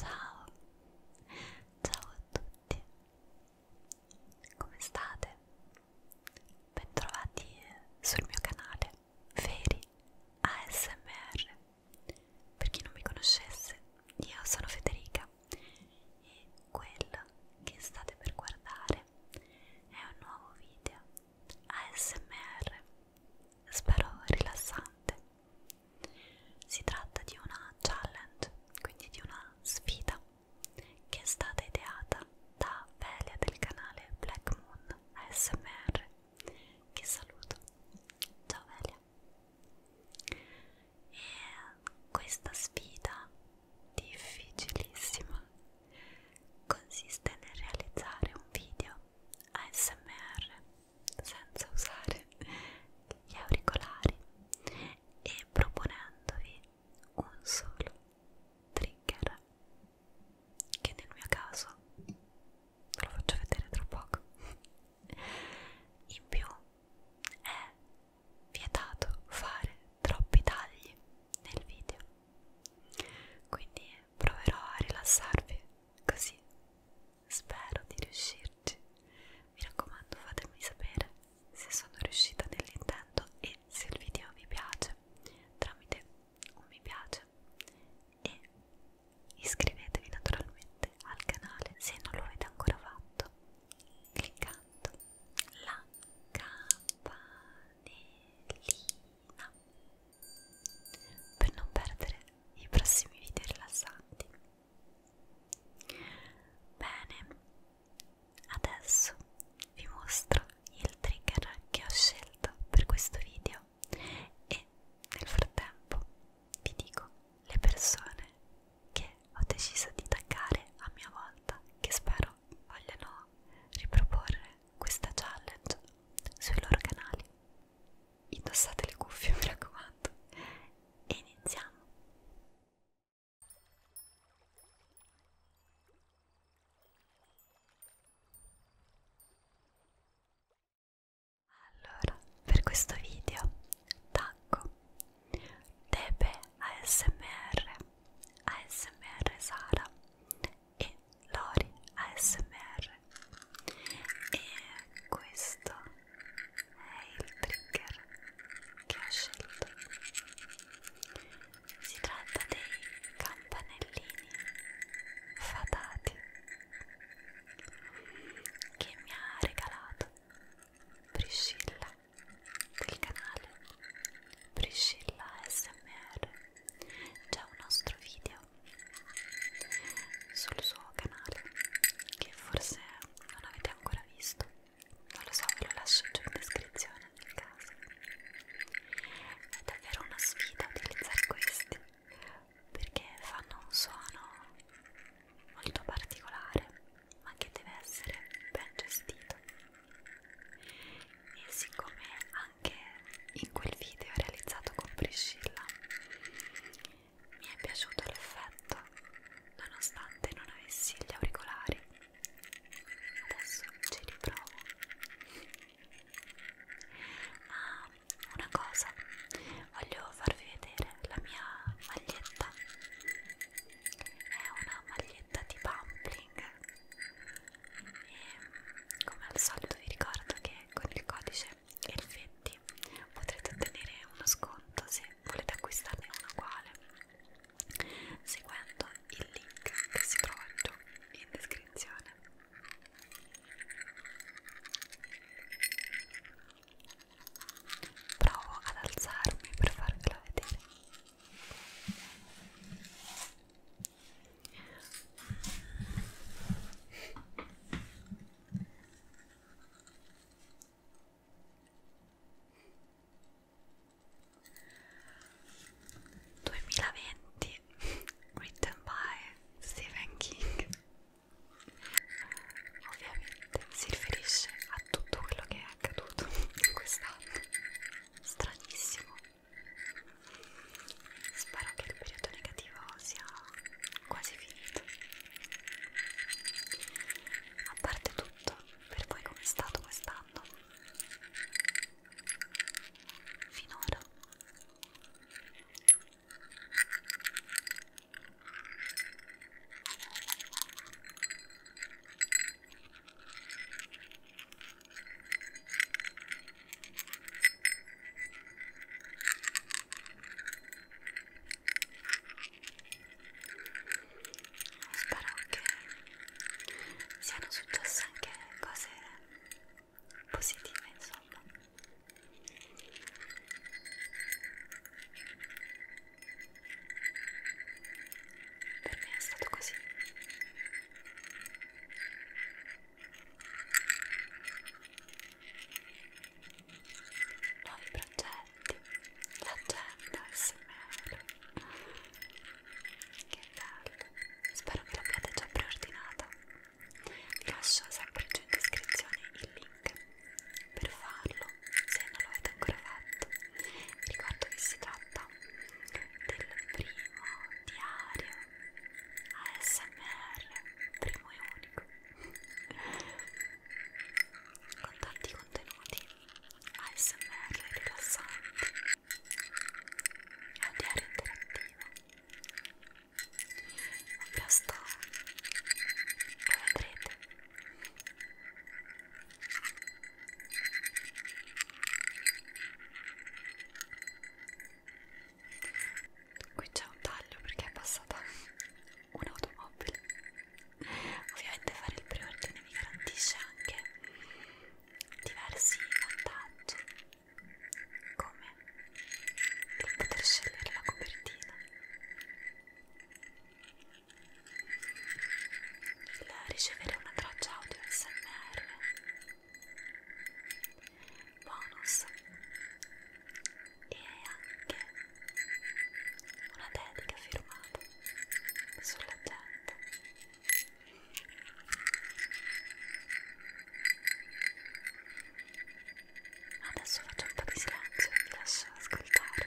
Ciao, ciao a tutti, come state? Bentrovati sul mio canale Feri ASMR. Per chi non mi conoscesse, io sono Federica e quello che state per guardare è un nuovo video ASMR, spero rilassante si tratta di una challenge, quindi di una sfida, che è stata ideata da Velia del canale Black Moon ASMR, che saluto. Ciao Velia! E questa sfida difficilissima consiste nel realizzare un video ASMR senza usare gli auricolari e proponendovi un solo trigger che nel mio caso ve lo faccio vedere tra poco in più è vietato fare troppi tagli nel video quindi proverò a rilassarvi così spero di riuscirci. Mi raccomando fatemi sapere se sono riuscita nell'intento e se il video vi piace tramite un mi piace e iscrivetevi naturalmente al canale se non lo avete ancora fatto cliccando la campanellina per non perdere i prossimi video rilassanti. Bene, adesso vi mostro il trigger che ho scelto per questo video e nel frattempo vi dico le persone che ho deciso di taggare a mia volta che spero vogliano riproporre questa challenge sui loro canali indossate le cuffie mi raccomando e iniziamo allora per questo video tacco Debe ASMR ASMR Sara e Lori ASMR e questo è il trigger che ho scelto si tratta dei campanellini fatati che mi ha regalato Priscilla del canale Priscilla ASMR c'è un nostro video sul suo canale che forse non avete ancora visto non lo so, ve lo lascio giù in descrizione nel caso è davvero una sfida utilizzare questi perché fanno un suono molto particolare ma che deve essere ben gestito e siccome anche in quel video realizzato con Priscilla. Mi è piaciuto l'effetto, nonostante non avessi gli auricolari. Adesso ci riprovo. Ah, una cosa, voglio farvi vedere la mia maglietta. È una maglietta di pumpling. E come al solito vi ricordo che con il codice ELFETTI potrete ottenere uno sconto se volete acquistarne uno uguale seguendo il link che si trova giù in descrizione provo ad alzarmi per farvelo vedere 2020 written by Stephen King ovviamente si riferisce a tutto quello che è accaduto in quest'anno stranissimo Spero che il periodo negativo sia quasi finito. A parte tutto, per voi com'è stato quest'anno? Finora? Spero che siano successe anche cose positive, insomma. Per me è stato così nuovi progetti, l'agenda SMR che bello, spero che l'abbiate già preordinata vi lascio sempre giù in descrizione il link per farlo se non lo avete ancora fatto ricordo che si tratta del primo diario ASMR, primo e unico, con tanti contenuti ASMR rilassanti. È un diario interattivo. Presto lo vedrete. Qui c'è un taglio perché è passata un'automobile. Ovviamente fare il preordine mi garantisce anche diversi vantaggi, come il poter scegliere la copertina il ricevere una traccia audio SMR bonus e anche una dedica firmata sulla gente adesso faccio un po' di silenzio e vi lascio ascoltare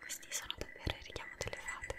Questi sono davvero il richiamo delle fate.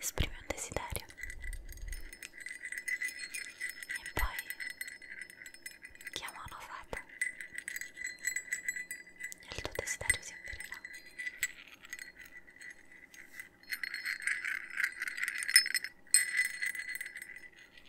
esprimi un desiderio e poi chiama una fata e il tuo desiderio si avvererà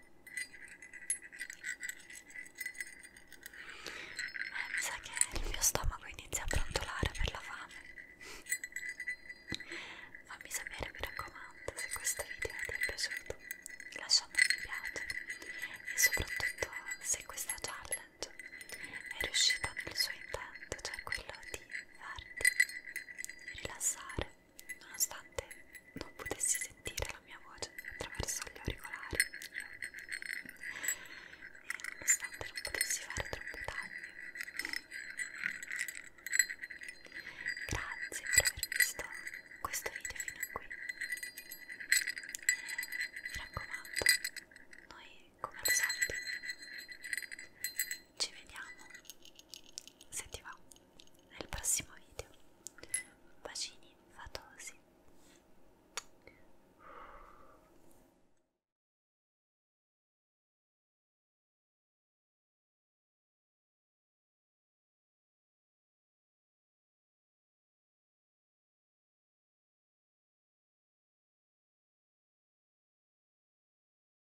Eh, mi sa che il mio stomaco inizia a brontolare per la fame. Fammi sapere, mi raccomando, se questo video ti è piaciuto. Lascia un mi piace e soprattutto se questa challenge è riuscita nel suo intento, cioè quello di farti rilassare nonostante non potessi sentire la mia voce attraverso gli auricolari e nonostante non potessi fare troppi tagli. Grazie per aver visto questo video fino a qui. Mi raccomando, noi come al solito ci vediamo se ti va nel prossimo video bacini fatosi